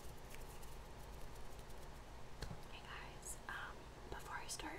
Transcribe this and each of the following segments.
Hey guys, um, before I start,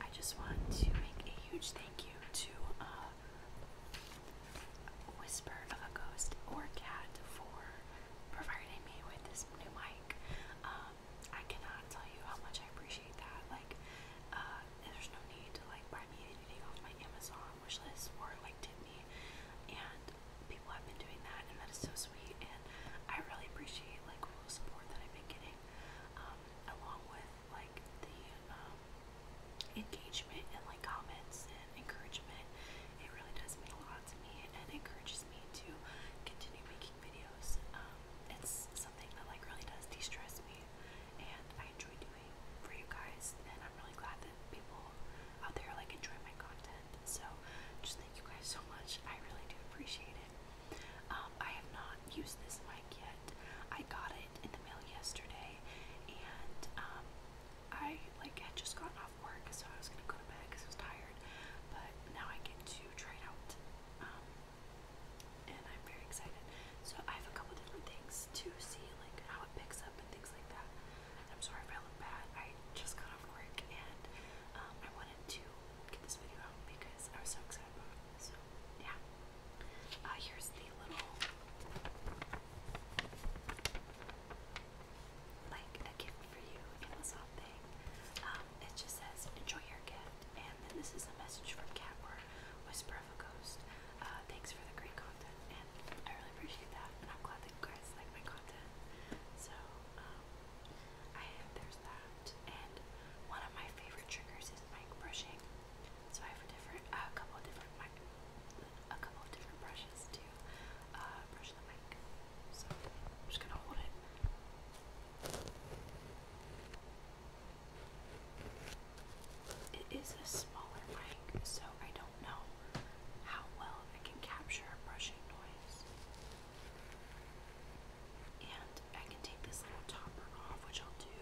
I just want to make a huge thank you to uh, Whisper of a Ghost or Cat for providing me with this new mic. Um, I cannot tell you how much I appreciate that. Like, uh, there's no need to like buy me anything off my Amazon wish list or like tip me, people have been doing that, and that is so sweet. And I really appreciate like all the support that I've been getting, um, along with like the um, engagement and like comments and encouragement. It really does mean a lot to me, and encourages me to continue making videos. Um, it's something that like really does de-stress me, and I enjoy doing for you guys. And I'm really glad people out there like enjoy my content. So just thank you guys so much. I really do appreciate it. Um, I have not used this mic yet. I got it in the mail yesterday, and um, I like had just gotten off work, so I was gonna go to bed because I was tired. But now I get to try it out, um, and I'm very excited. So I have a couple different things to see, like how it picks up and things like that. I'm sorry if I look bad. I just got off work and um, I wanted to get this video out because I was so excited about it. So yeah. Uh, here's the little like gift for you Amazon um, just says enjoy your gift, and then this is a message from Catwar Whisper of a Ghost. Uh, thanks for the great content, and I really appreciate that. And I'm glad that you guys like my content. So, um, I there's that. And one of my favorite triggers is mic brushing. So I have a different, uh, a couple of different mic, a couple of different brushes to uh, brush the mic. So I'm just gonna hold it. It is a smaller mic, so I don't know how well I can capture a brushing noise. And I can take this little topper off, which I'll do.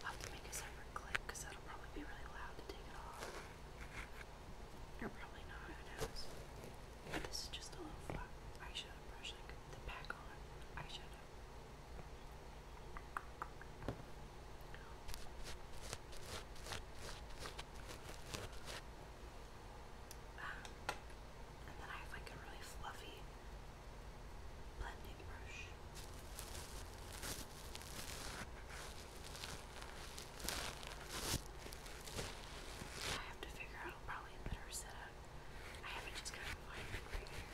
I'll make a separate clip because that'll probably be really loud to take it off. Or probably not, who this is just a little flat eyeshadow brush, like the pack on eyeshadow and then I have like a really fluffy blending brush. I have to figure out probably a better setup. I have it just kind of lying right here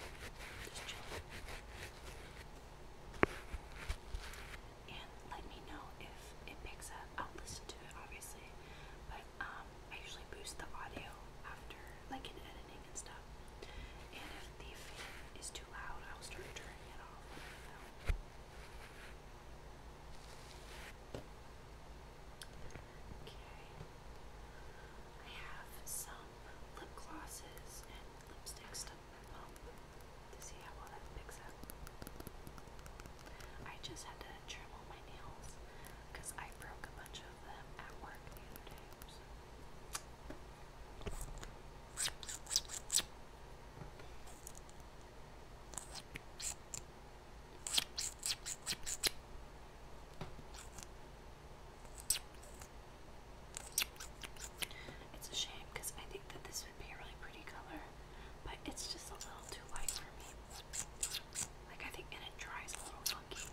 and let me know if it picks up. I'll listen to it obviously, but um, I usually boost the audio after, like in editing and stuff. And if the fan is too loud, I'll start turning it off. Okay. I have some lip glosses and lipstick to to see how well that picks up. I just had to trim all my nails because I broke a bunch of them at work the other day. It's a shame because I think that this would be a really pretty color, but it's just a little too light for me. Like I think, and it dries a little funky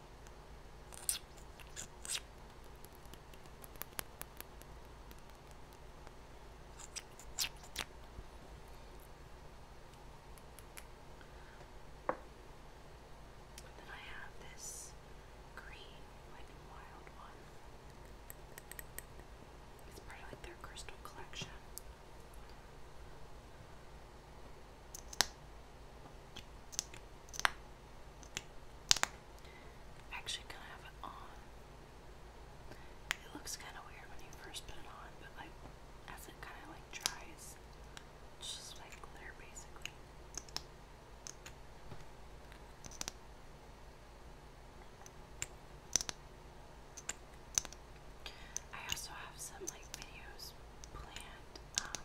then I have this green, like wild one. It's part of like their crystal collection. Actually, gonna have it on. It looks kind of weird when you first put it on, but like as it kind of like dries, just like there, basically. I also have some like videos planned. Um,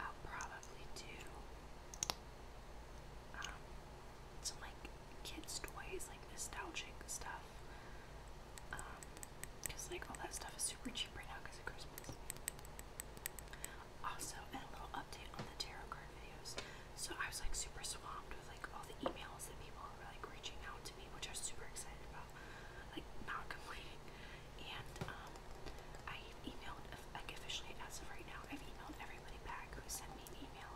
I'll probably do um, some like kids' toys, like nostalgic stuff. Um, cause like all that stuff is super cheap right now because of Christmas. Also, a little update on the tarot card videos. So I was like super swamped with like all the emails that people were like reaching out to me, which I was super excited about. Like not complaining. And um, I emailed like officially as right now. I've emailed everybody back who sent me an email.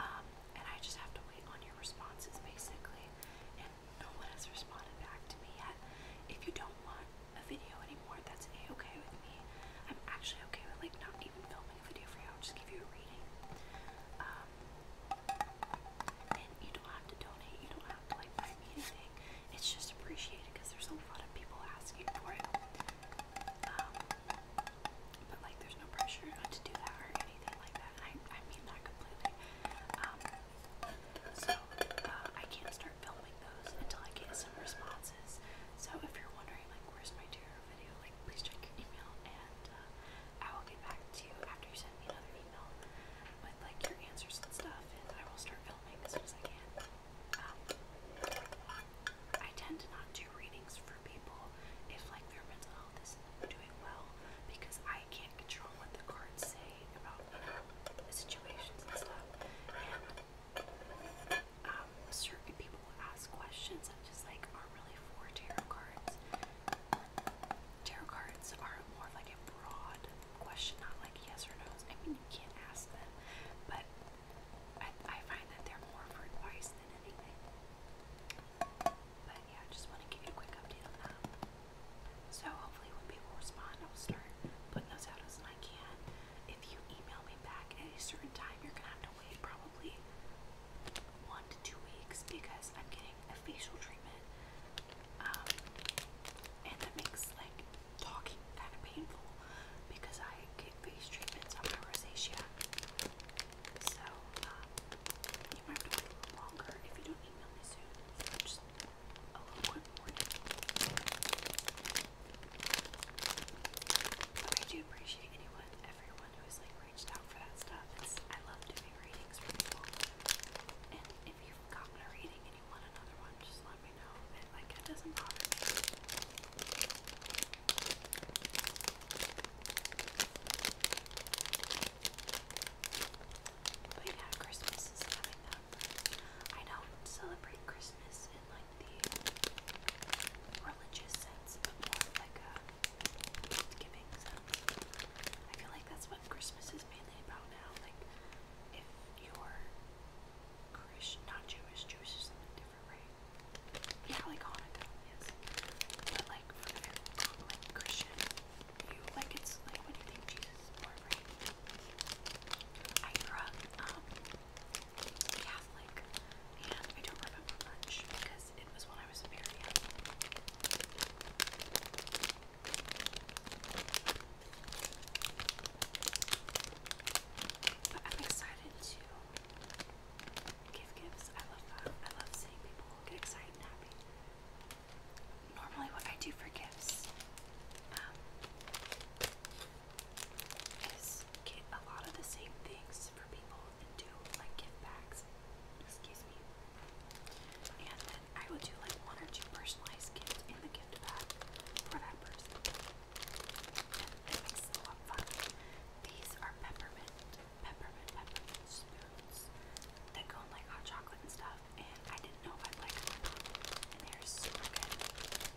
Um, and I just have to wait on your responses basically. And no one has responded back to me yet. If you don't want a video anymore, that's a-okay with me. I'm actually okay with like not even filming a video for you. I'll just give you a reading. Um, and you don't have to donate. You don't have to like buy me anything. It's just appreciated because there's a lot of people asking for it. Um, but like, there's no pressure not to do that or anything. I, mean that completely. Um, so uh, I can't start filming those until I get some responses. So if you're wondering like where's my terror video, like please check your email and uh, I will get back to you after you send me another email with like your answers and stuff, and I will start filming as soon as I can. Um, I tend to not do readings for people if like their mental health isn't doing well because I I can't control what the cards say about the situations and stuff. And um, certain people will ask questions that just like aren't really for tarot cards. Tarot cards are more like a broad question, not like yes or no. I mean, you can't ask them, but I find that they're more for advice than anything. But yeah, I just want to give you a quick update on that. So hopefully when people respond, I'll start putting those out as soon as I can. If you email me back at a certain time, you're gonna have to wait probably one to two weeks because I'm getting a facial treatment. Um, and that makes like talking kind of painful because I get face treatments on my rosacea. So, um, you might have a little longer if you don't email me soon. So just a little quick warning. But I do appreciate anyone, everyone who like reached out for that stuff. I love doing readings for people. And if you've gotten a reading and you want another one, just let me know. like, it doesn't bother but yeah, Christmas is coming up. I don't celebrate Christmas in like the religious sense, but more like a giving sense. I feel like that's what Christmas is mainly about now. Like, if you're Christian, not Jewish, Jewish is a different, way. Yeah, like Hanukkah, yes. But like for the like Christian view, like it's like what you think Jesus I grew up Catholic and I don't remember much because it was when I was a young. But I'm excited to give gifts. I love I love seeing people get excited and happy. Normally, what I do for gifts um, is get a lot of the same things for people and do like gift bags. Excuse me. And then I would do like one or two personalized gifts in the gift bag for that person. These are peppermint, peppermint, peppermint spoons that go in like hot chocolate and stuff. And I didn't know if I'd like them And they're super good.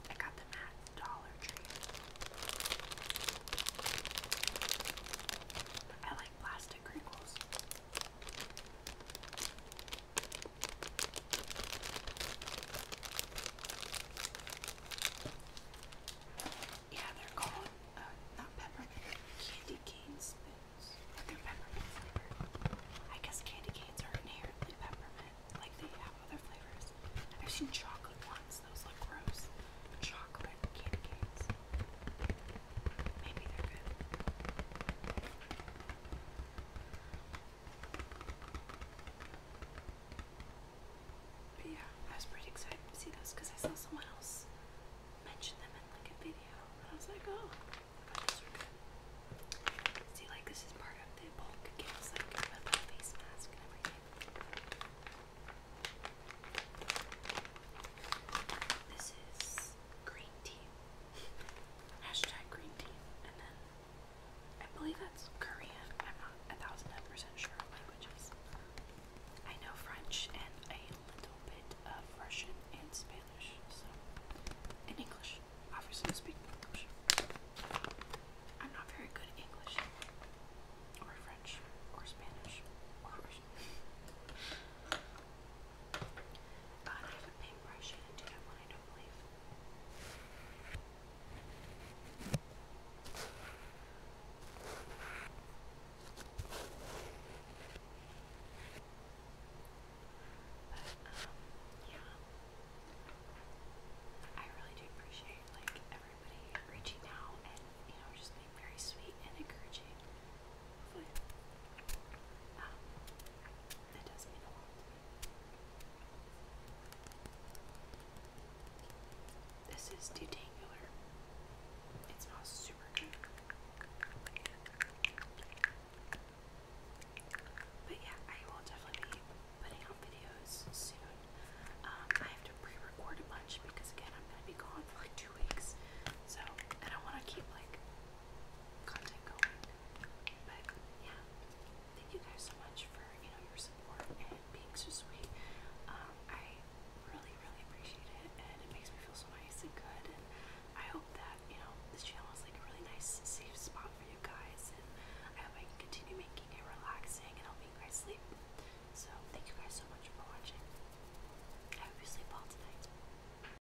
I got them at Dollar Tree. I like plastic crinkles. Yeah, they're called uh, not peppermint candy cane but they're peppermint I guess candy canes are inherently peppermint, like they have other flavors. I've seen chocolate ones; those look gross. Chocolate candy canes. Maybe they're good. But yeah, I was pretty excited to see those because I saw someone else mention them in like a video. And I was like, oh, See, like this is part of the bulk gifts, like about a face mask and everything. This is green tea. Hashtag green tea. And then I believe that's Korean. I'm not a thousand percent sure of languages. I know French and a little bit of Russian and Spanish, so in English. Obviously, I speak English. I'm not very good at English, or French, or Spanish, or Russian. But, um, I really do appreciate like everybody reaching out and you know just being very sweet and encouraging. Um, that does mean a lot. This is detangler. It smells super good. But yeah, I will definitely be putting out videos soon. Um, I have to pre-record a bunch because again, I'm gonna be gone for like two weeks, so I don't want to keep like thank you guys so much for you know your support and being so sweet. Um, I really, really appreciate it, and it makes me feel so nice and good. And I hope that you know this channel is like a really nice, safe spot for you guys. And I hope I can continue making it relaxing and helping you guys sleep. So thank you guys so much for watching. I hope you sleep well tonight.